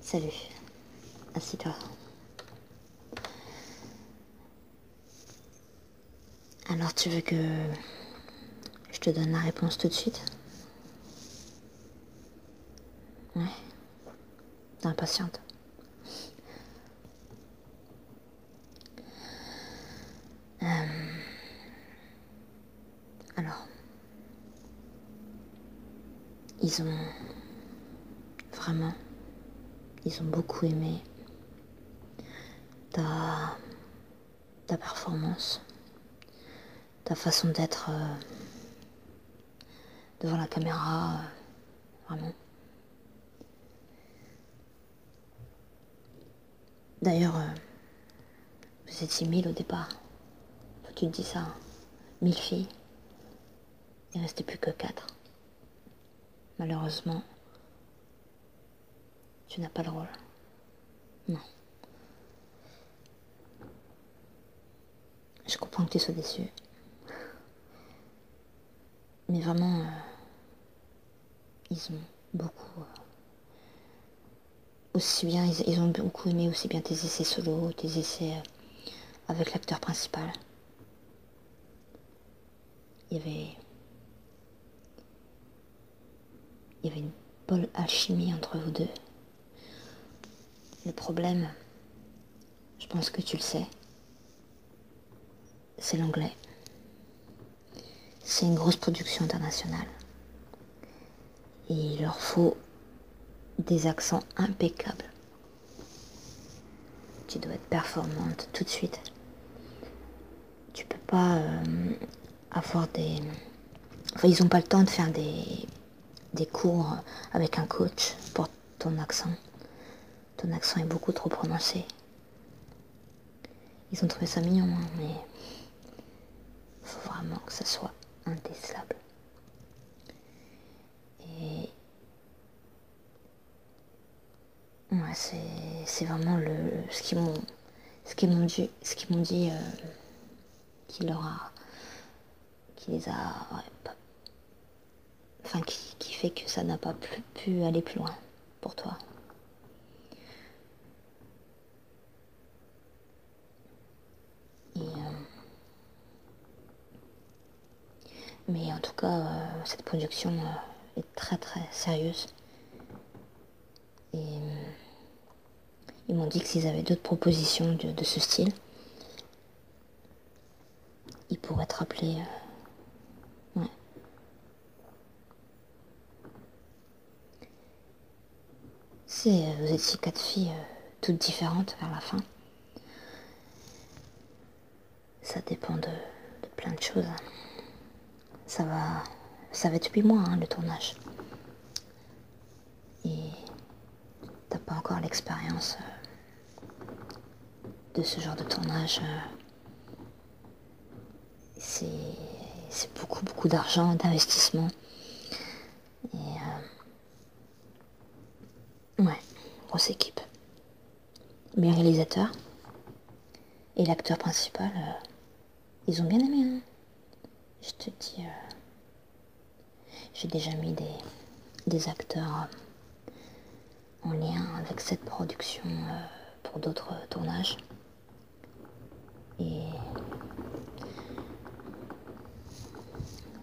Salut. Assis-toi. Alors tu veux que je te donne la réponse tout de suite Ouais. T'es impatiente. Euh, alors, ils ont vraiment, ils ont beaucoup aimé ta, performance, ta façon d'être euh, devant la caméra, euh, vraiment. D'ailleurs, euh, vous étiez mille au départ. tu te dis ça. Hein. Mille filles. Il restait plus que quatre. Malheureusement, tu n'as pas le rôle. Non. Je comprends que tu sois déçu. Mais vraiment, euh, ils ont beaucoup euh, aussi bien, ils, ont beaucoup aimé aussi bien tes essais solo, tes essais euh, avec l'acteur principal. Il y avait. Il y avait une bonne alchimie entre vous deux. Le problème, je pense que tu le sais, c'est l'anglais. C'est une grosse production internationale il leur faut des accents impeccables. Tu dois être performante tout de suite. Tu peux pas euh, avoir des. Enfin, ils ont pas le temps de faire des, des cours avec un coach pour ton accent. Ton accent est beaucoup trop prononcé. Ils ont trouvé ça mignon, hein, mais faut vraiment que ça soit indécelable. Et ouais, c'est vraiment le, ce qui m'ont ce qui m'ont dit, ce qui m'ont dit, euh, qui leur a, qui les a, enfin qui, qui, fait que ça n'a pas pu aller plus loin pour toi. Euh, mais en tout cas, euh, cette production euh, est très très sérieuse. Et ils m'ont dit que s'ils avaient d'autres propositions de, ce style, ils pourraient être appelés. C'est... Euh, vous étiez quatre filles euh, toutes différentes vers la fin, ça dépend de, plein de choses. Hein. Ça va, ça va être depuis mois hein, le tournage. Et t'as pas encore l'expérience euh, de ce genre de tournage. C'est beaucoup beaucoup d'argent, d'investissement. Et Ouais, grosse équipe. Mes réalisateurs et l'acteur principal, euh, ils ont bien aimé. Hein. Je te dis, euh, j'ai déjà mis des, des acteurs euh, en lien avec cette production pour d'autres tournages. Et.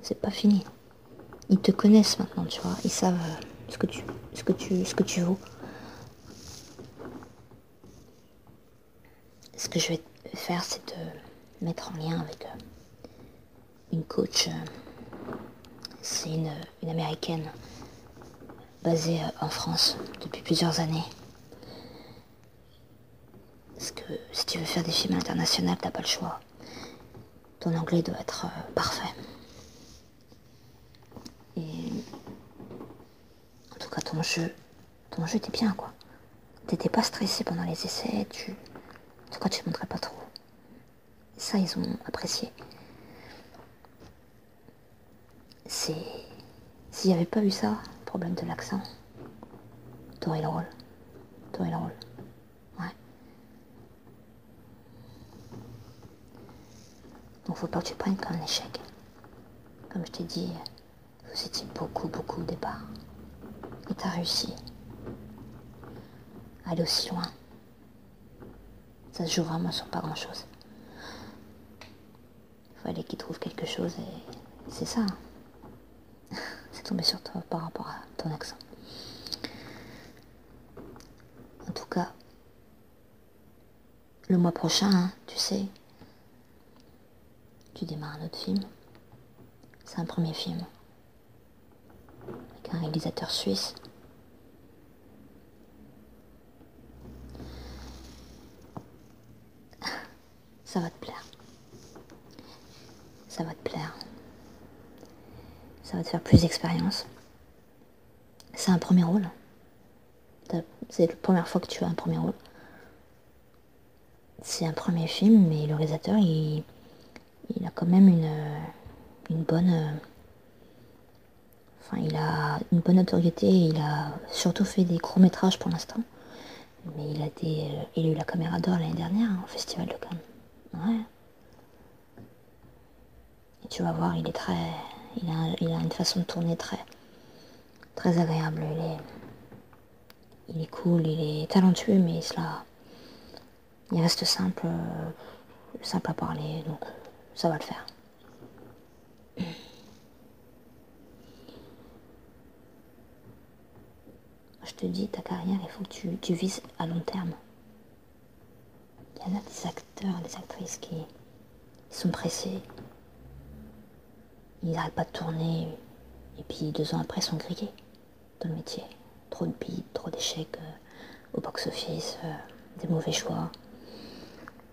C'est pas fini. Ils te connaissent maintenant, tu vois. Ils savent euh, ce que tu, ce que tu, ce que tu vaux. Ce que je vais faire, c'est te mettre en lien avec euh, une coach. Euh, c'est une américaine basée en France depuis plusieurs années. Parce que si tu veux faire des films internationaux, t'as pas le choix. Ton anglais doit être euh, parfait. Et. En tout cas, ton jeu. Ton jeu était bien, quoi. T'étais pas stressé pendant les essais, tu. En tout cas, tu montrais pas trop. Ça, ils ont apprécié. C'est. S'il n'y avait pas eu ça, problème de l'accent. Tour il Toi Tour le rôle. Ouais. Donc faut pas que tu prennes comme un échec. Comme je t'ai dit, vous étiez beaucoup, beaucoup au départ. Et t'as réussi. À aller aussi loin. Ça se joue vraiment sur pas grand chose. Il Fallait qu'il trouve quelque chose et c'est ça. Hein. c'est tombé sur toi par rapport à ton accent. En tout cas, le mois prochain, hein, tu sais, tu démarres un autre film. C'est un premier film. Avec un réalisateur suisse. Ça va te plaire. Ça va te plaire. Ça va te faire plus d'expérience. C'est un premier rôle. C'est la première fois que tu as un premier rôle. C'est un premier film, mais le réalisateur, il, a quand même une, bonne... Enfin, il a une bonne notoriété, il a surtout fait des courts-métrages pour l'instant. Mais il a, des, euh, il a eu la caméra d'or l'année dernière hein, au Festival de Cannes. Et tu vas voir, il est très. Il a, il a une façon de tourner très, très agréable. Il est, il est cool, il est talentueux, mais cela. Il reste simple, euh, simple à parler, donc euh, ça va le faire je te dis, ta carrière, il faut que tu, vises à long terme. Il y en a des acteurs, des actrices qui sont pressés. Ils n'arrêtent pas de tourner. Et puis deux ans après, ils sont grillés dans le métier. Trop de bides, trop d'échecs euh, au box-office, euh, des mauvais choix.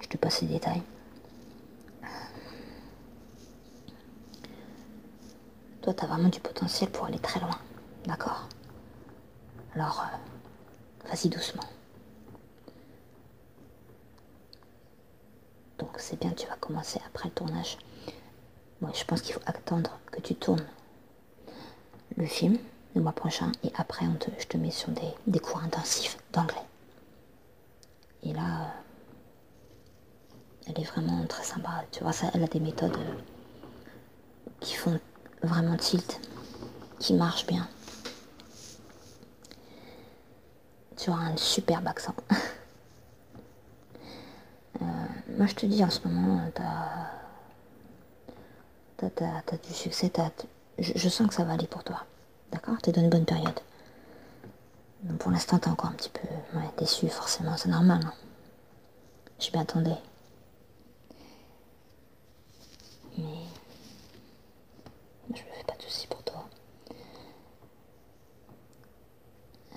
Je te passe les détails. Toi, as vraiment du potentiel pour aller très loin, d'accord Alors, euh, vas-y doucement. Donc c'est bien, tu vas commencer après le tournage. Moi, je pense qu'il faut attendre que tu tournes le film le mois prochain et après, on je te mets sur des cours intensifs d'anglais. Et là, euh, elle est vraiment très sympa, tu vois, ça, elle a des méthodes euh, qui font vraiment tilt, qui marchent bien. Tu auras un superbe accent. Euh, moi je te dis en ce moment, tu as, du succès, je, sens que ça va aller pour toi. D'accord es dans une bonne période pour l'instant, t'es encore un petit peu déçu, forcément, c'est normal. Hein. Je m'y attendais. Mais. Je me fais pas de soucis pour toi.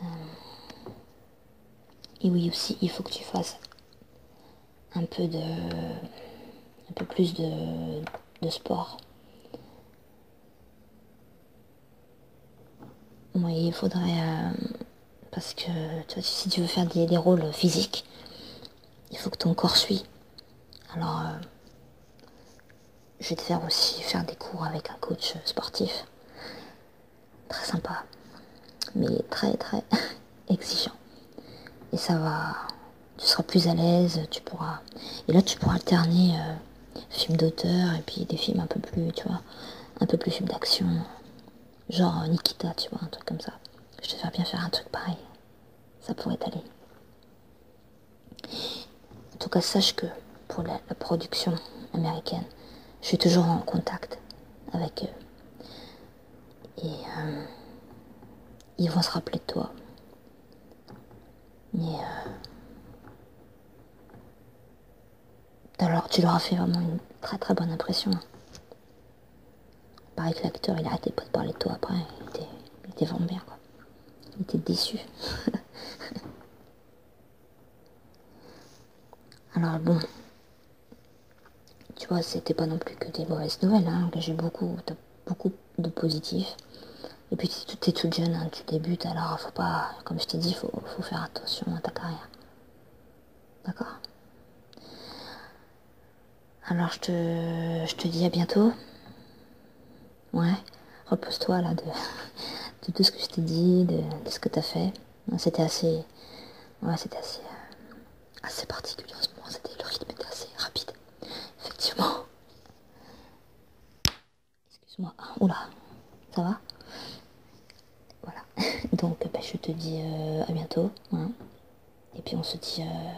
Euh, et oui, aussi, il faut que tu fasses un peu de. un peu plus de sport. Oui, il faudrait... Euh, parce que toi, si tu veux faire des, des, rôles physiques, il faut que ton corps suit. Alors, euh, je vais te faire aussi faire des cours avec un coach sportif. Très sympa, mais très très exigeant. Et ça va... Tu seras plus à l'aise, tu pourras... Et là, tu pourras alterner... Euh, films d'auteur et puis des films un peu plus, tu vois, un peu plus films d'action. Genre euh, Nikita, tu vois, un truc comme ça. Je te ferais bien faire un truc pareil. Ça pourrait aller. En tout cas, sache que pour la, production américaine, je suis toujours en contact avec eux. Et euh, ils vont se rappeler de toi. Mais euh, alors tu leur as fait vraiment une très très bonne impression. Hein. Pareil que l'acteur, il a pas de parler de toi après, il était, il Il était déçu. Alors bon, tu vois, c'était pas non plus que des mauvaises nouvelles, hein. que j'ai beaucoup, beaucoup de positifs. Et puis t'es toute jeune, hein. tu débutes, alors faut pas, comme je t'ai dit, il faut, faire attention à ta carrière. D'accord Alors je te, dis à bientôt. Ouais, repose-toi là de, tout ce que je t'ai dit, de, ce que tu as fait. C'était assez. Ouais, c'était assez. Euh, assez particulier en ce moment. Le rythme était assez rapide. Effectivement. Excuse-moi. Oula, ça va Voilà. Donc, bah, je te dis euh, à bientôt. Hein. Et puis, on se dit. Euh,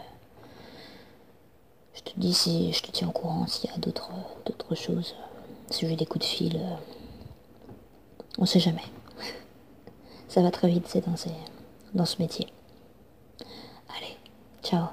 je te dis si je te tiens au courant s'il y a d'autres euh, choses. Si j'ai des coups de fil. on sait jamais. Ça va très vite, c'est dans ce métier. Allez, ciao